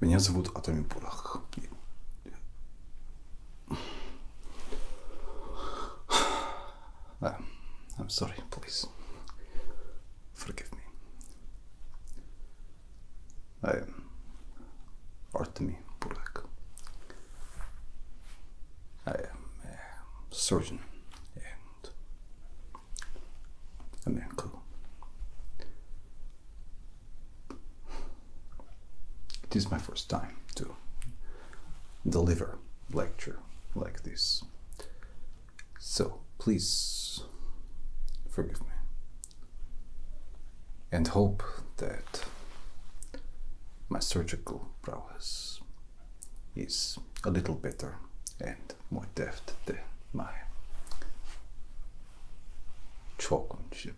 Меня зовут Атоми Пурах. I'm sorry, please. Forgive me. I am Artemi Purlak. I am a surgeon and America. It is my first time to deliver lecture like this. So please forgive me and hope that my surgical prowess is a little better and måtte efter my chocolate.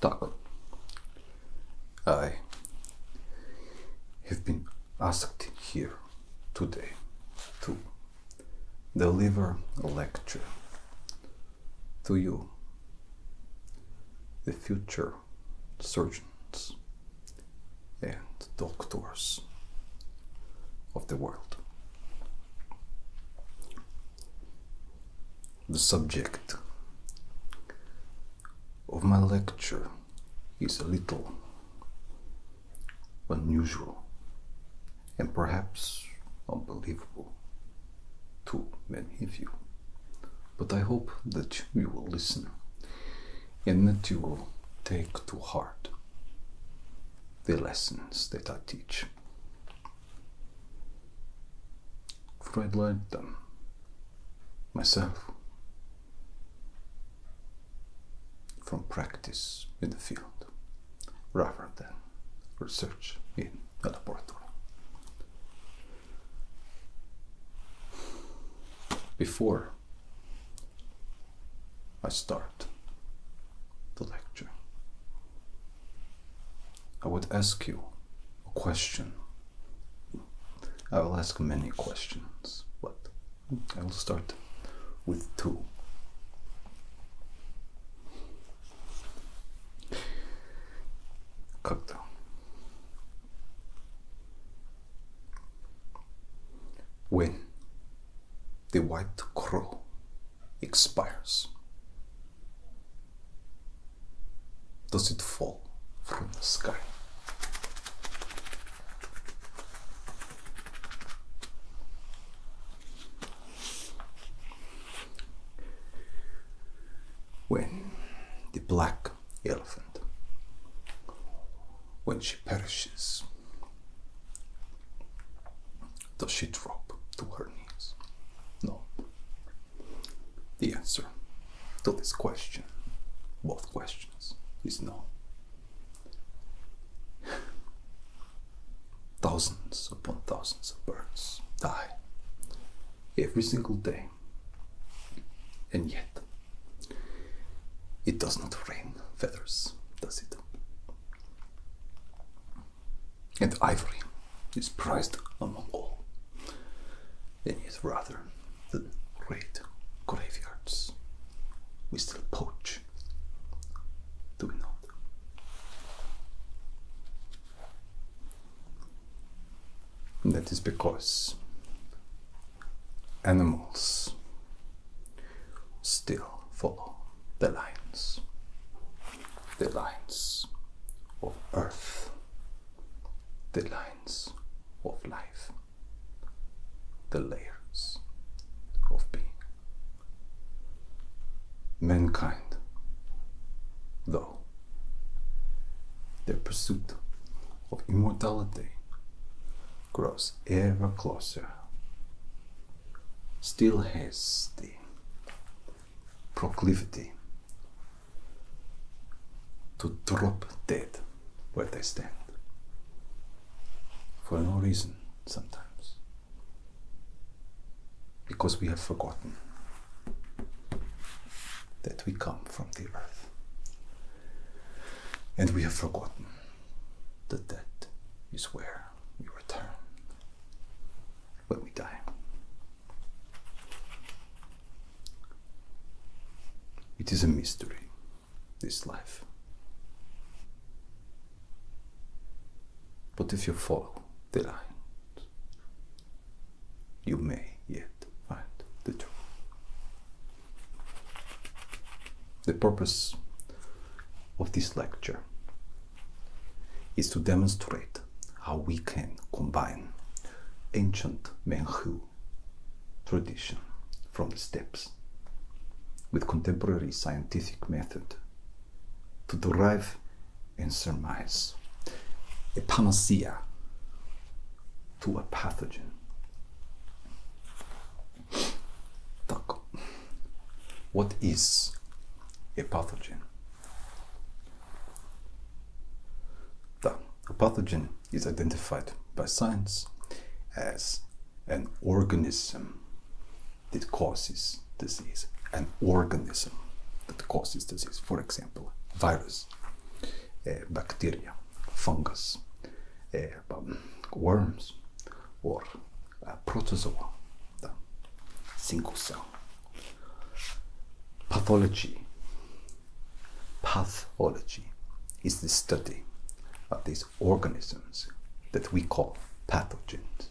Так. I have been asked here today to deliver a lecture to you, the future surgeons and doctors of the world. The subject of my lecture is a little unusual and perhaps unbelievable too many of you. But I hope that you will listen and that you will take to heart the lessons that I teach. Fred learned them myself from practice in the field rather than eh, research in the laboratory. Before I start the lecture, I would ask you a question. I will ask many questions, but I will start with two как When the white crow expires, does it fall from the sky? when the black elephant when she perishes does she drop to her knees no the answer to this question both questions is no Thousands upon thousands of birds die every single day. And yet, it does not rain feathers, does it? And ivory is prized among all, and yet rather than great graveyards, we still poach. Do we not? That is because animals still follow the lines, the lines of earth, the lines of life, the layers of being mankind, though, their pursuit of immortality grows ever closer, still has the proclivity to drop dead where they stand for no reason sometimes because we have forgotten that we come from the earth. And we have forgotten that that is where we return when we die. It is a mystery, this life. But if you follow the light, you may yet find the truth. The purpose of this lecture is to demonstrate how we can combine ancient Menghu tradition from the steppes with contemporary scientific method to derive and surmise. A panacea to a pathogen. What is a pathogen? The, a pathogen is identified by science as an organism that causes disease, an organism that causes disease, for example, virus, uh, bacteria, fungus, uh, um, worms, or uh, protozoa, the single cell. Pathology. Pathology is the study of these organisms that we call pathogens.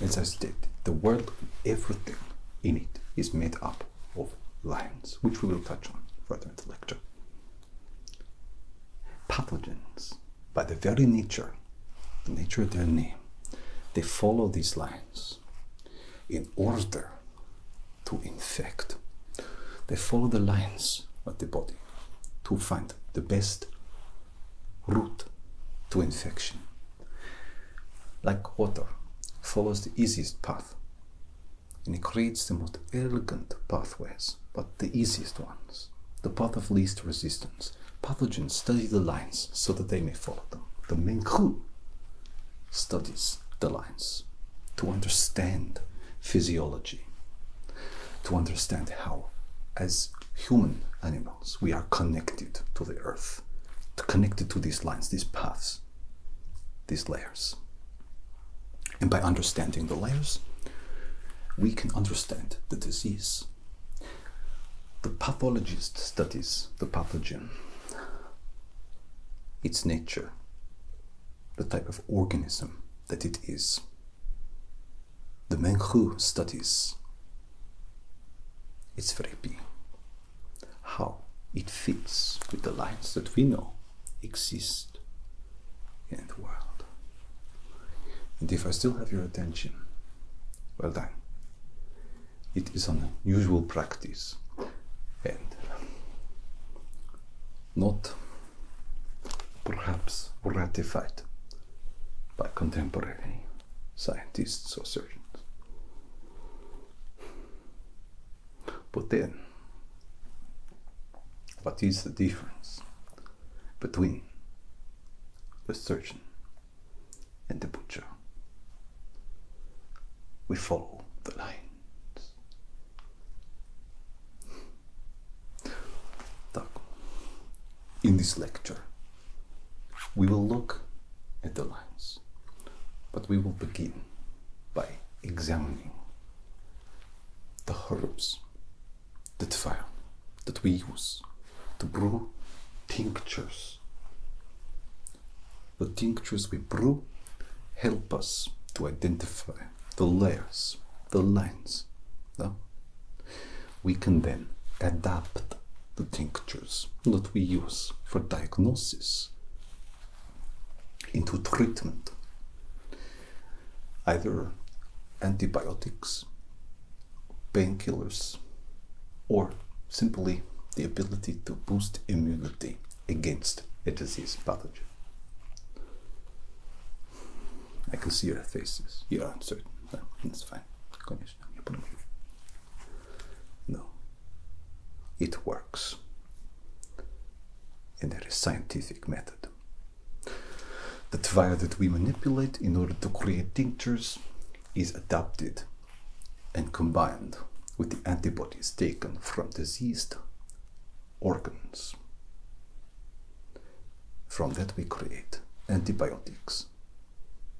As I stated, the world, everything in it is made up of lines, which we will touch on further in the lecture. Pathogens, by the very nature, the nature of their name, they follow these lines in order to infect. They follow the lines of the body to find the best route to infection. Like water follows the easiest path and it creates the most elegant pathways, but the easiest ones, the path of least resistance. Pathogens study the lines so that they may follow them. The Menghu studies the lines to understand physiology, to understand how, as human animals, we are connected to the earth, connected to these lines, these paths, these layers. And by understanding the layers, we can understand the disease. The pathologist studies the pathogen, its nature, the type of organism that it is the man who studies it's very therapy how it fits with the lines that we know exist in the world and if i still have your attention well done it is an unusual practice and not perhaps ratified by contemporary scientists or surgeons. But then, what is the difference between the surgeon and the butcher? We follow the lines. Так. In this lecture, we will look at the lines, but we will begin by examining the herbs that fire that we use to brew tinctures. The tinctures we brew help us to identify the layers, the lines. No? we can then adapt the tinctures that we use for diagnosis into treatment. Either antibiotics, painkillers, or simply the ability to boost immunity against a disease pathogen. I can see your faces. You're uncertain. That's fine. No. It works. And there is scientific method. The fire that we manipulate in order to create tinctures is adapted and combined with the antibodies taken from diseased organs. From that we create antibiotics,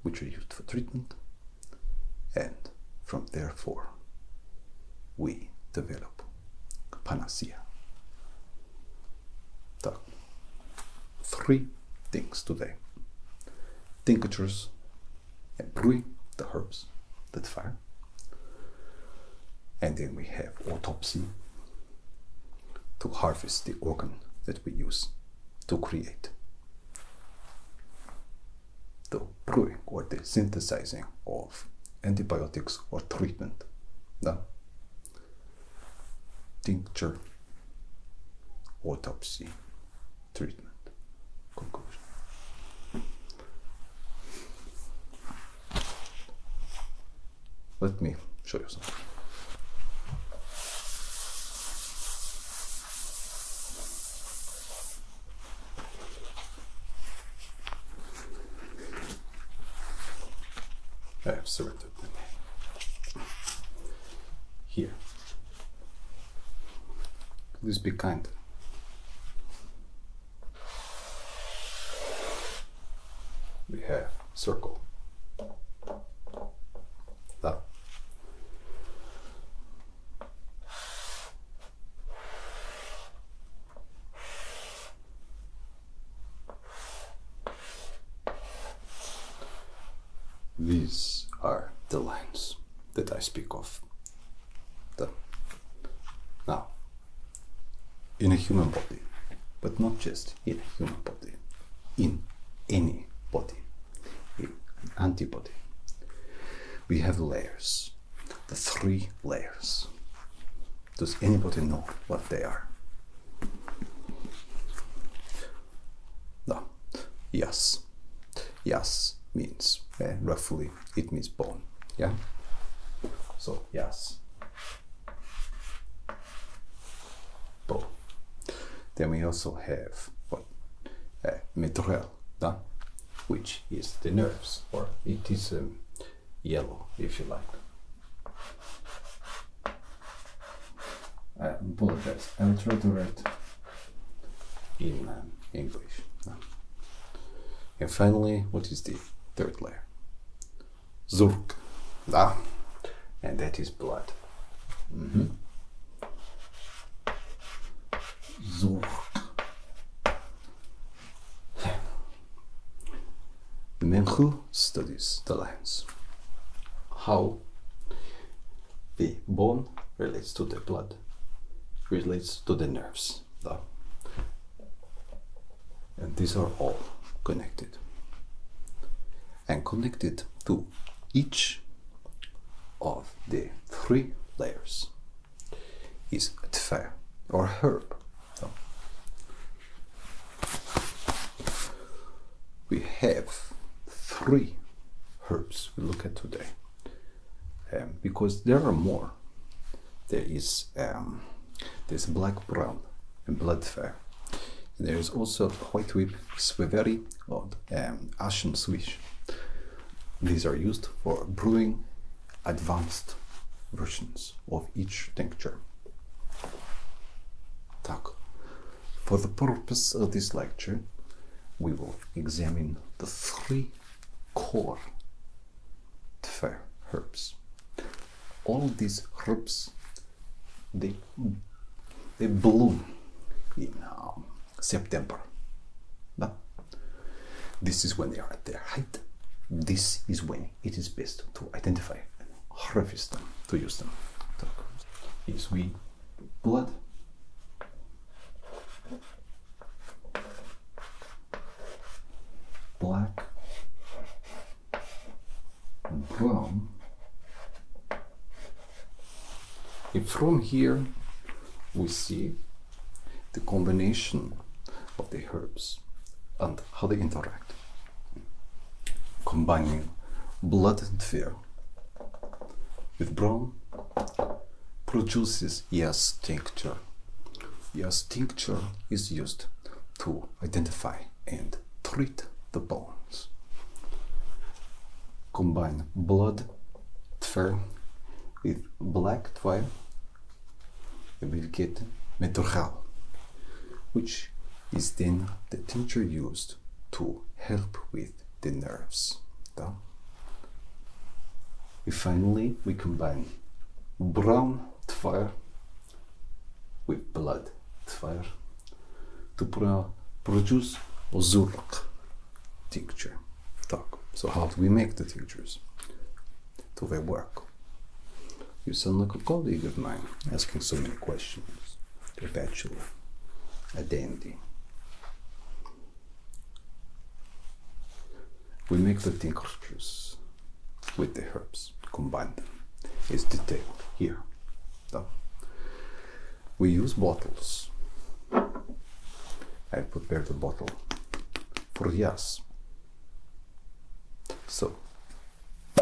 which are used for treatment, and from therefore we develop panacea. The three things today. Tinctures and brewing, the herbs that fire. And then we have autopsy to harvest the organ that we use to create. The brewing or the synthesizing of antibiotics or treatment. Now, tincture, autopsy, treatment, conclusion. Let me show you something. I have surrendered Here. Please be kind we have circle. That. These are the lines that I speak of. The. Now, in a human body, but not just in human body, in any body, in antibody. We have layers, the three layers. Does anybody know what they are? No. Yes. Yes means eh, roughly it means bone. Yeah. So yes, then we also have what? Uh, which is the nerves, or it is um, yellow, if you like. I apologize. I will try to write in um, English. And finally, what is the third layer? Zurk. Ah, and that is blood. Mm -hmm. Zurk. The man who studies the lines. How the bone relates to the blood, relates to the nerves. The and these are all connected and connect it to each of the three layers is tfe or herb. No. We have three herbs we look at today um, because there are more. There is um, this black brown and blood fair there is also white whip sweveri or um, ashen swish. These are used for brewing advanced versions of each tincture. Так. For the purpose of this lecture, we will examine the three core Tver herbs all these herbs they they bloom in um, September. But this is when they are at their height. This is when it is best to identify harvest them, to use them. Is we blood. Black brown and from here we see the combination of the herbs and how they interact combining blood and fear with brown produces yes tincture yes tincture is used to identify and treat the bones. Combine blood tver with black twine, you will get metorchal, which is then the tincture used to help with the nerves. Down. finally we combine brown tver with blood tver to pro uh, produce ozurok tincture. Так. So how do we make the tinctures? Do they work? You sound like a colleague of mine asking so many questions. A bachelor, a dandy. We make the tinctures with the herbs, combine them. It's detailed here. So we use bottles. I prepare the bottle for yes. So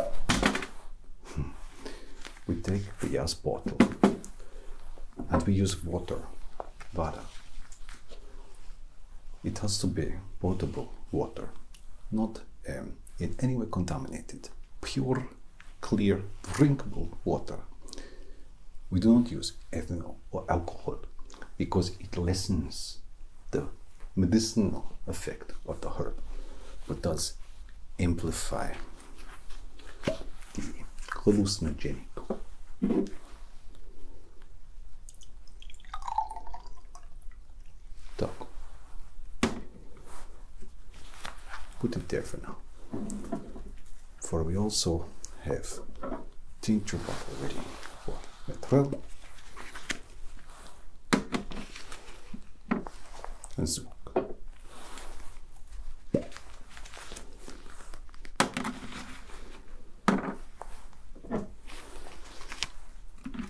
we take the yes bottle and we use water, water. It has to be potable water not um, in any way contaminated, pure, clear, drinkable water. We do not use ethanol or alcohol because it lessens the medicinal effect of the herb, but does amplify the hallucinogenic. Так. Put it there for now. For we also have tincture bottle ready for methyl. And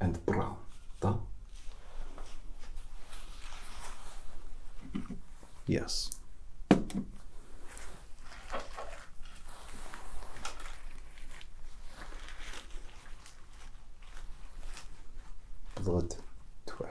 and brown. Да? Yes. Blood twelve.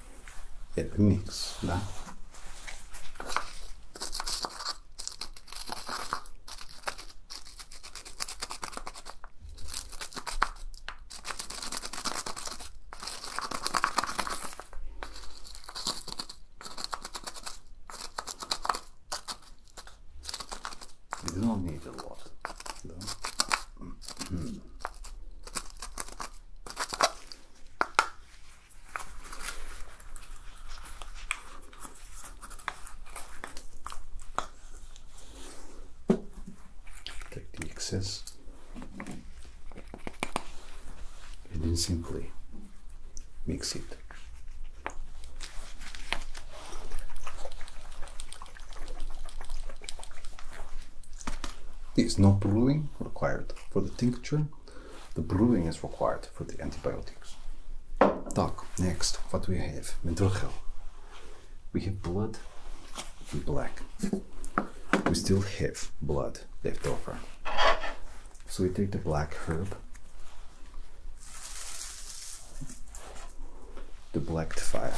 It mixes, da? You do not need a lot, Take the excess and then simply mix it. There is no brewing required for the tincture, the brewing is required for the antibiotics. Talk next, what we have, mentrogel. We have blood in black. We still have blood left over. So we take the black herb, the black fire.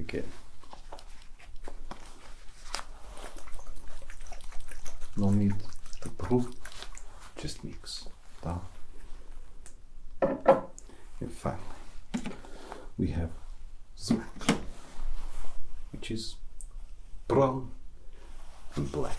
Okay. No need to prove, just mix. And finally, we have smack, which is brown and black.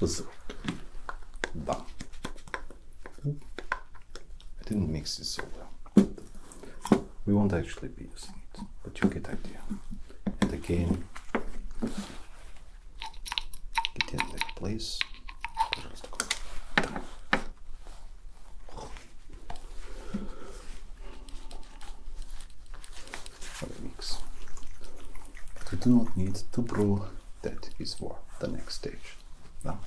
Listen. Bah. I didn't mix this so well. We won't actually be using it, but you get idea. And again, get in that place weeks. You do not need to prove that is for the next stage. No.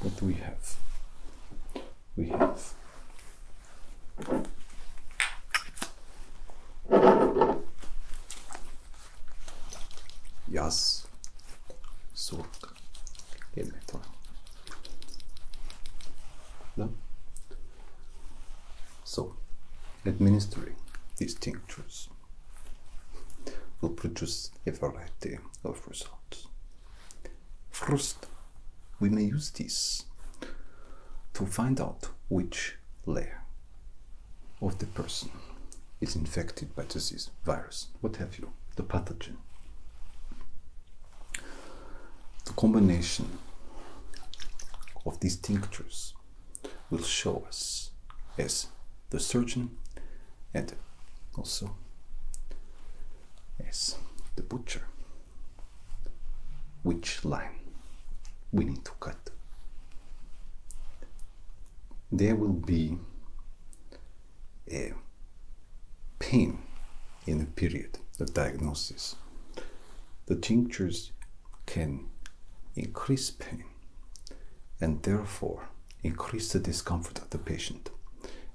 What do we have? We have Yaz Sork demek var. No? So, administering these tinctures will produce a variety of results. First, we may use this to find out which layer of the person is infected by disease, virus, what have you, the pathogen. The combination of these tinctures will show us as the surgeon and also as the butcher which line we need to cut. There will be a pain in a period of diagnosis. The tinctures can increase pain and therefore increase the discomfort of the patient.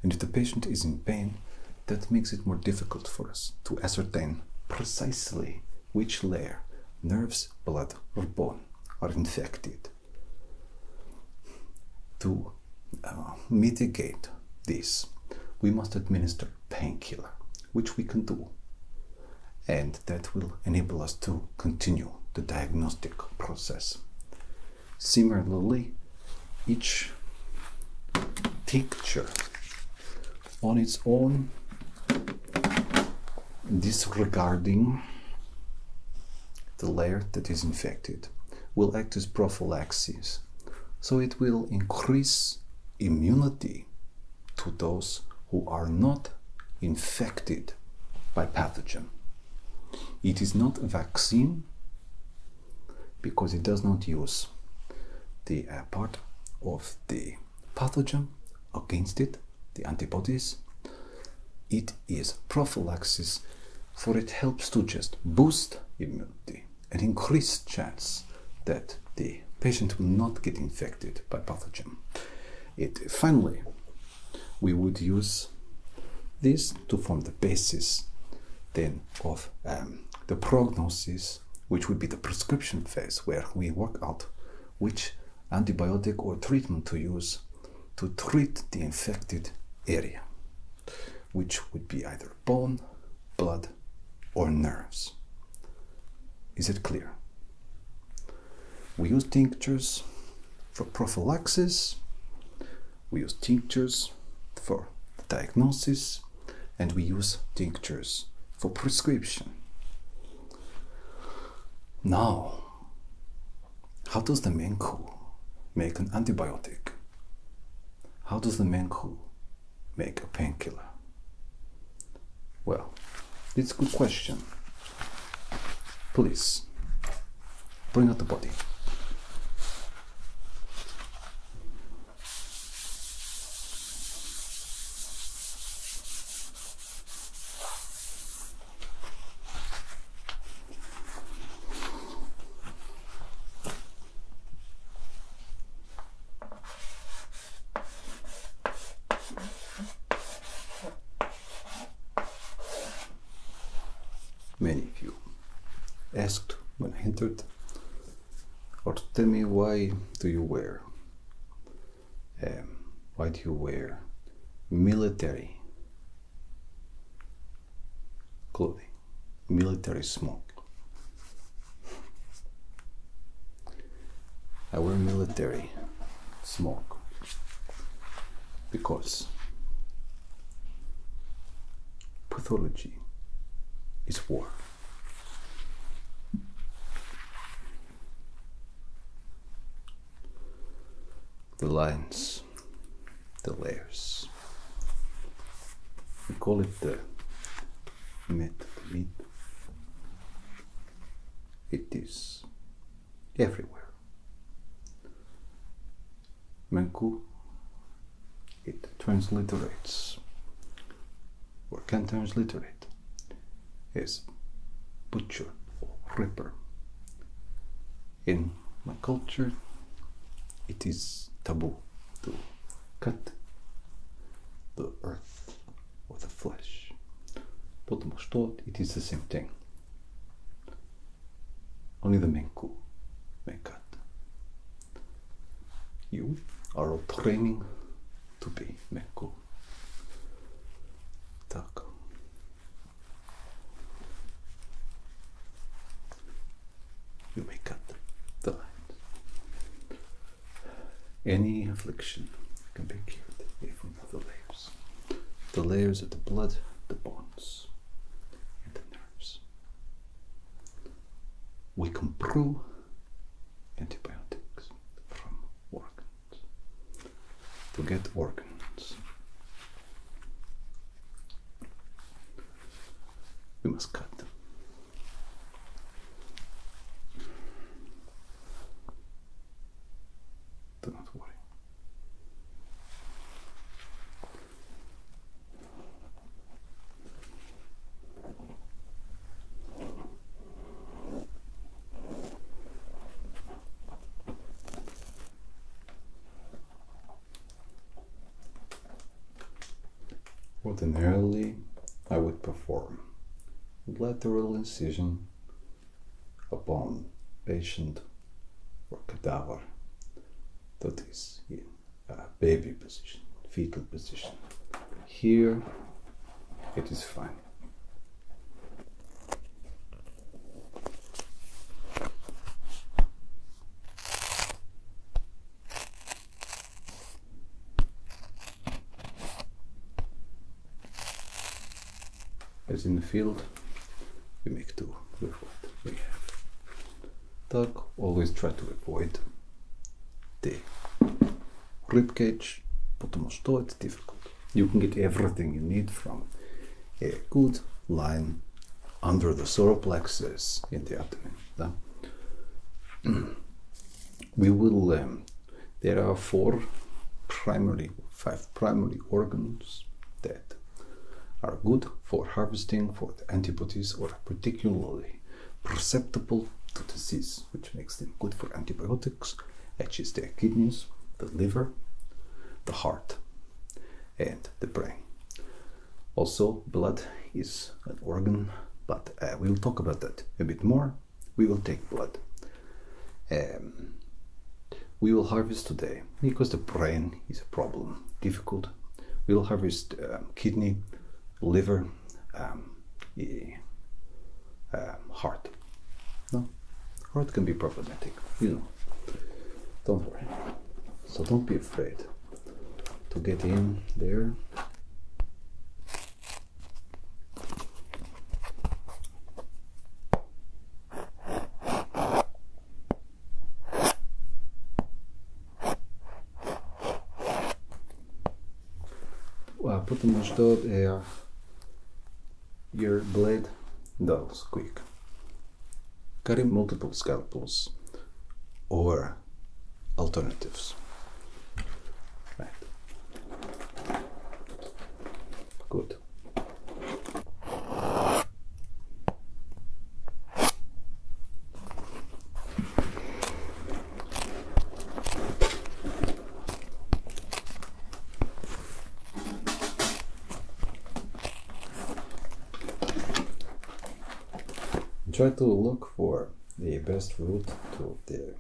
And if the patient is in pain, that makes it more difficult for us to ascertain precisely which layer, nerves, blood, or bone, are infected. To uh, mitigate this, we must administer painkiller, which we can do and that will enable us to continue the diagnostic process. Similarly, each picture on its own disregarding the layer that is infected will act as prophylaxis so it will increase immunity to those who are not infected by pathogen. It is not a vaccine because it does not use the uh, part of the pathogen against it, the antibodies. It is prophylaxis, for it helps to just boost immunity and increase chance that the patient will not get infected by pathogen it finally we would use this to form the basis then of um, the prognosis which would be the prescription phase where we work out which antibiotic or treatment to use to treat the infected area which would be either bone blood or nerves is it clear we use tinctures for prophylaxis, we use tinctures for diagnosis, and we use tinctures for prescription. Now, how does the Menku make an antibiotic? How does the Menku make a painkiller? Well, it's a good question. Please, bring out the body. Many of you asked when I entered, or tell me why do you wear, um, why do you wear military clothing, military smoke? Our military smoke because pathology is war. The lines, the layers. We call it the method. It is everywhere. Manku, it transliterates, or can transliterate, as butcher or ripper. In my culture, it is taboo to cut the earth or the flesh. But most Mashtod, it is the same thing. Only the Menku may You are all training to be Menku. Так. You may cut the line. Any affliction can be cured the layers. The layers of the blood, the bones, and the nerves. We can brew antibiotics from organs. To get organs, we must cut them. Do not worry. Ordinarily, I would perform lateral incision upon patient or cadaver that is yeah, baby position, fetal position. Here it is fine as in the field, we make two with what we have. Tug, always try to avoid the rib cage, but almost though it's difficult. You can get everything you need from a good line under the solar in the abdomen. we will um, there are four primary, five primary organs that are good for harvesting for the antibodies or particularly perceptible to disease, which makes them good for antibiotics, which is their kidneys, the liver, the heart, and the brain. Also, blood is an organ, but uh, we'll talk about that a bit more we will take blood. Um, we will harvest today because the brain is a problem, difficult. We will harvest um, kidney, liver, um, heart. No, heart can be problematic, you know. Don't worry. So don't be afraid to get in there. Well, pretty much dot uh, eh, your blade dull quick. Cutting multiple scalpels or alternatives. Gut. Try to look for the best route to the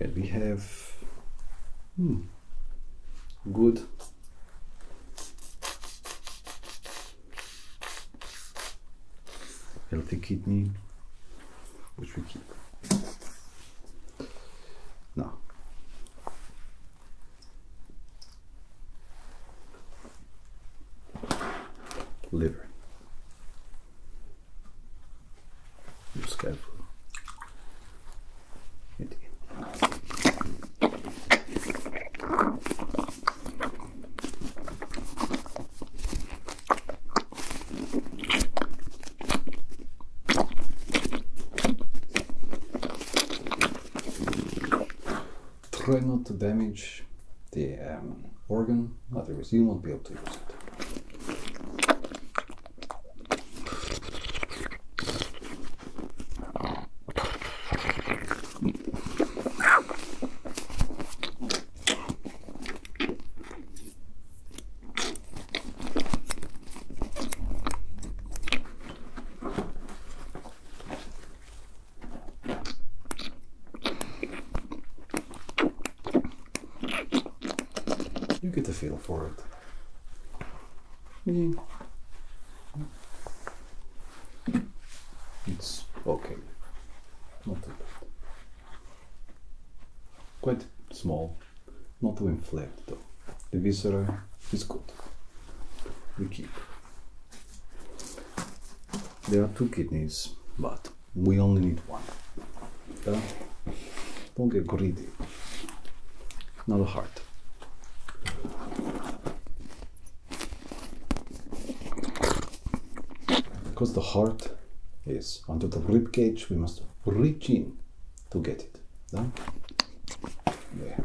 And we have hmm, good healthy kidney, which we keep. No. Liver. Just careful. Try not to damage the um, organ, otherwise you won't be able to use it. You get the feel for it. Mm. It's okay. Not too bad. Quite small, not too inflamed though. The viscera is good. We keep. There are two kidneys, but we only need one. don't get greedy. Not a heart. Because the heart is under the rib cage, we must reach in to get it. No? There.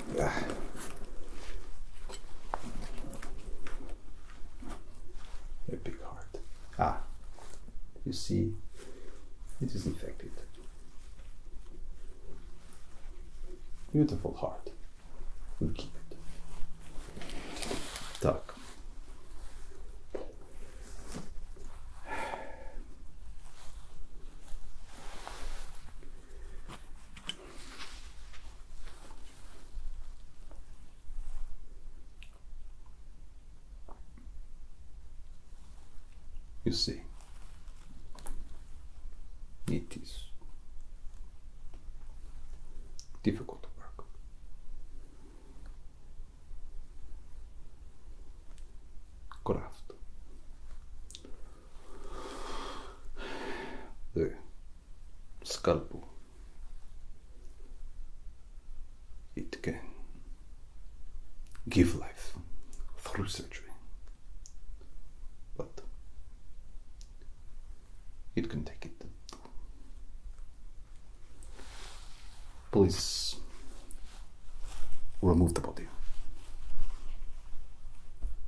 Ah. A big heart. Ah, you see, it is infected. Beautiful heart. We'll keep it. Talk. You see, it is difficult work. Craft. The skalpu it can give life through surgery but it can take it please remove the body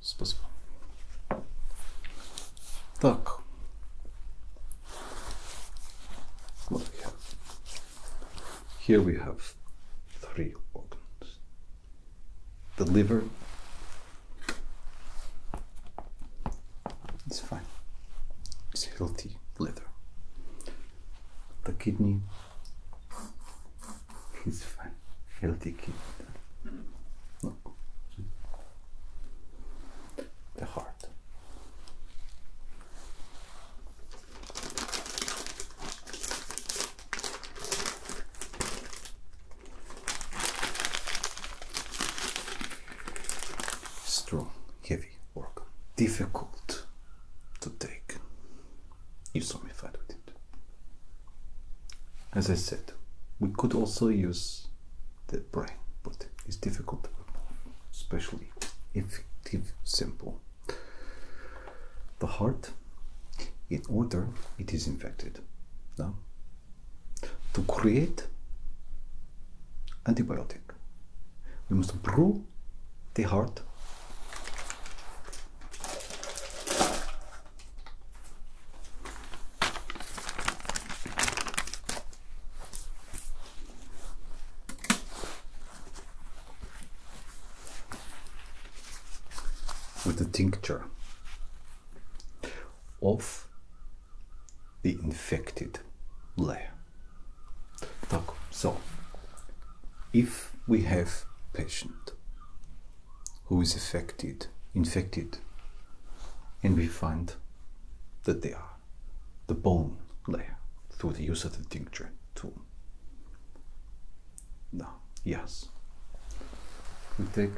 Спасибо. Так. Here we have three organs. The liver. It's fine. It's healthy liver. The kidney He's fine, healthy kid. The heart. Strong, heavy work, difficult to take use some it. As I said, we could also use the brain, but it's difficult especially if it's simple. The heart, in order it is infected. Now, to create antibiotic, we must brew the heart with the tincture of the infected layer. So, if we have patient who is affected, infected, and we find that they are the bone layer through the use of the tincture tool. No, yes. We take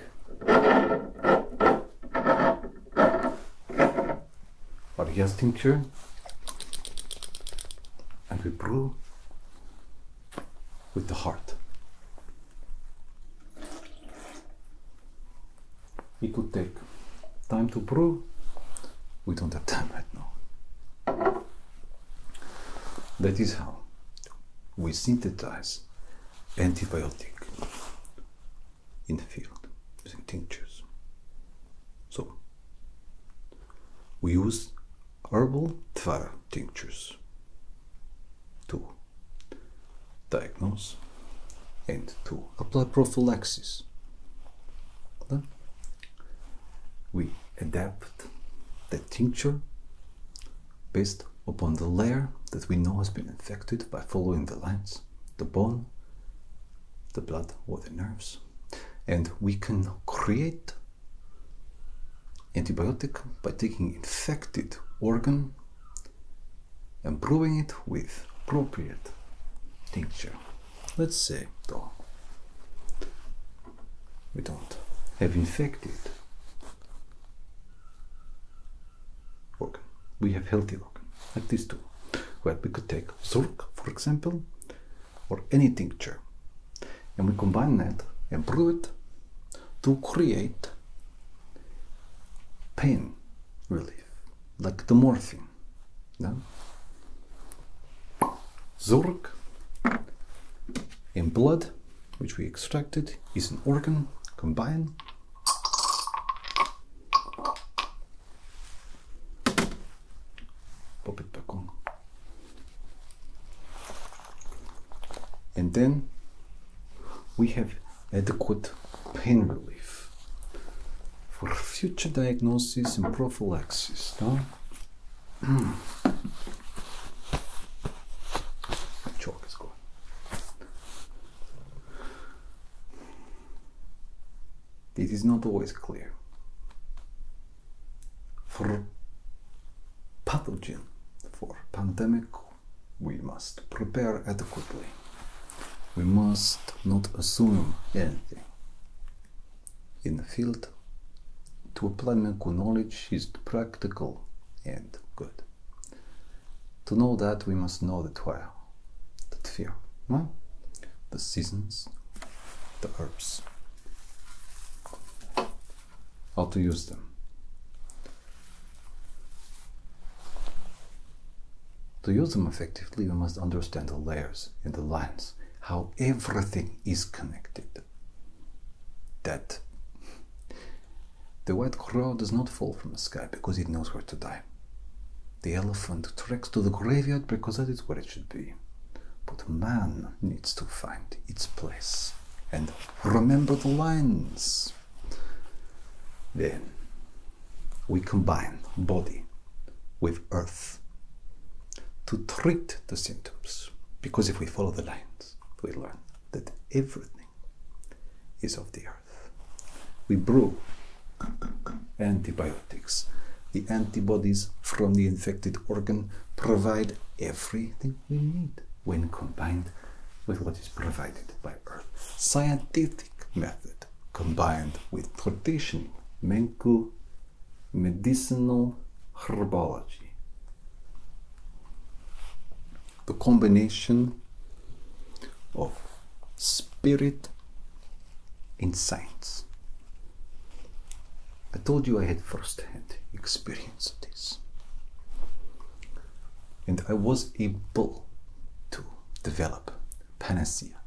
our yes tincture and we brew with the heart. It would take time to prove. We don't have time right now. That is how we synthesize antibiotic in the field using tinctures. So we use herbal Tvara tinctures. To Diagnose and to Apply prophylaxis. Then we adapt the tincture based upon the layer that we know has been infected by following the lines, the bone, the blood or the nerves. And we can create antibiotic by taking infected organ and brewing it with appropriate tincture. Let's say though we don't have infected organ. We have healthy organ, like these two. Well, we could take Zurk, for example, or any tincture and we combine that and brew it to create pain relief, like the morphine. Yeah? Zork in blood, which we extracted, is an organ combined. Pop it back on. And then we have adequate pain relief for future diagnosis and prophylaxis. No? Chalk is gone. It is not always clear for pathogen, for pandemic, we must prepare adequately. We must not assume anything. In the field, to apply medical knowledge is practical and good. To know that, we must know the trial, the fear, the seasons, the herbs how to use them. To use them effectively, we must understand the layers in the lines, how everything is connected. That the white crow does not fall from the sky because it knows where to die. The elephant treks to the graveyard because that is where it should be. But man needs to find its place and Remember the lines. Then we combine body with earth to treat the symptoms. Because if we follow the lines, we learn that everything is of the earth. We brew antibiotics. The antibodies from the infected organ provide everything we need when combined with what is provided by Earth, scientific method, combined with traditional mental medicinal herbology. The combination of spirit and science I told you I had first hand experience of this. And I was able to develop panacea.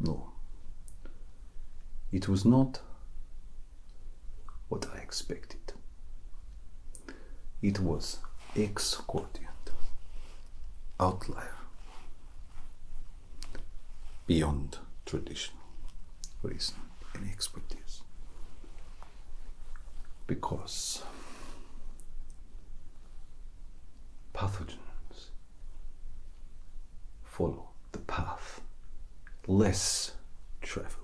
No, it was not what I expected. It was exorbitant, outlier, beyond tradition, reason, and expertise. Because pathogens follow the path less traveled.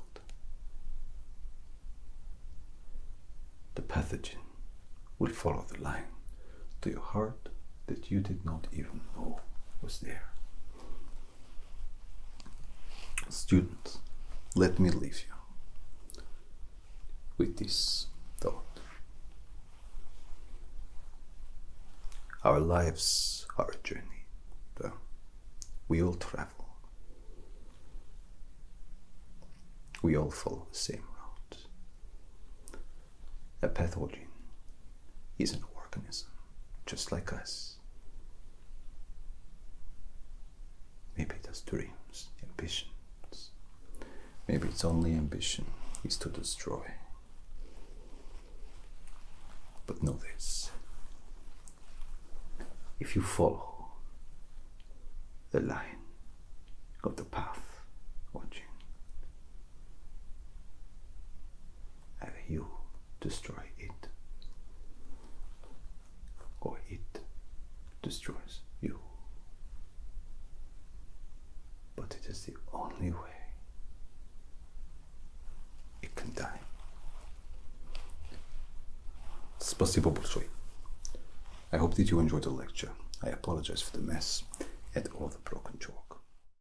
The pathogen will follow the line to your heart that you did not even know was there. Students, let me leave you with this thought. Our lives are a journey, though we all travel. We all follow the same route. A pathogen is an organism just like us. Maybe it has dreams, ambitions. Maybe its only ambition is to destroy. But know this if you follow the line of the path watching, and you destroy it, or it destroys you. But it is the only way it can die. Спасибо большое. I hope that you enjoyed the lecture. I apologize for the mess and all the broken chalk.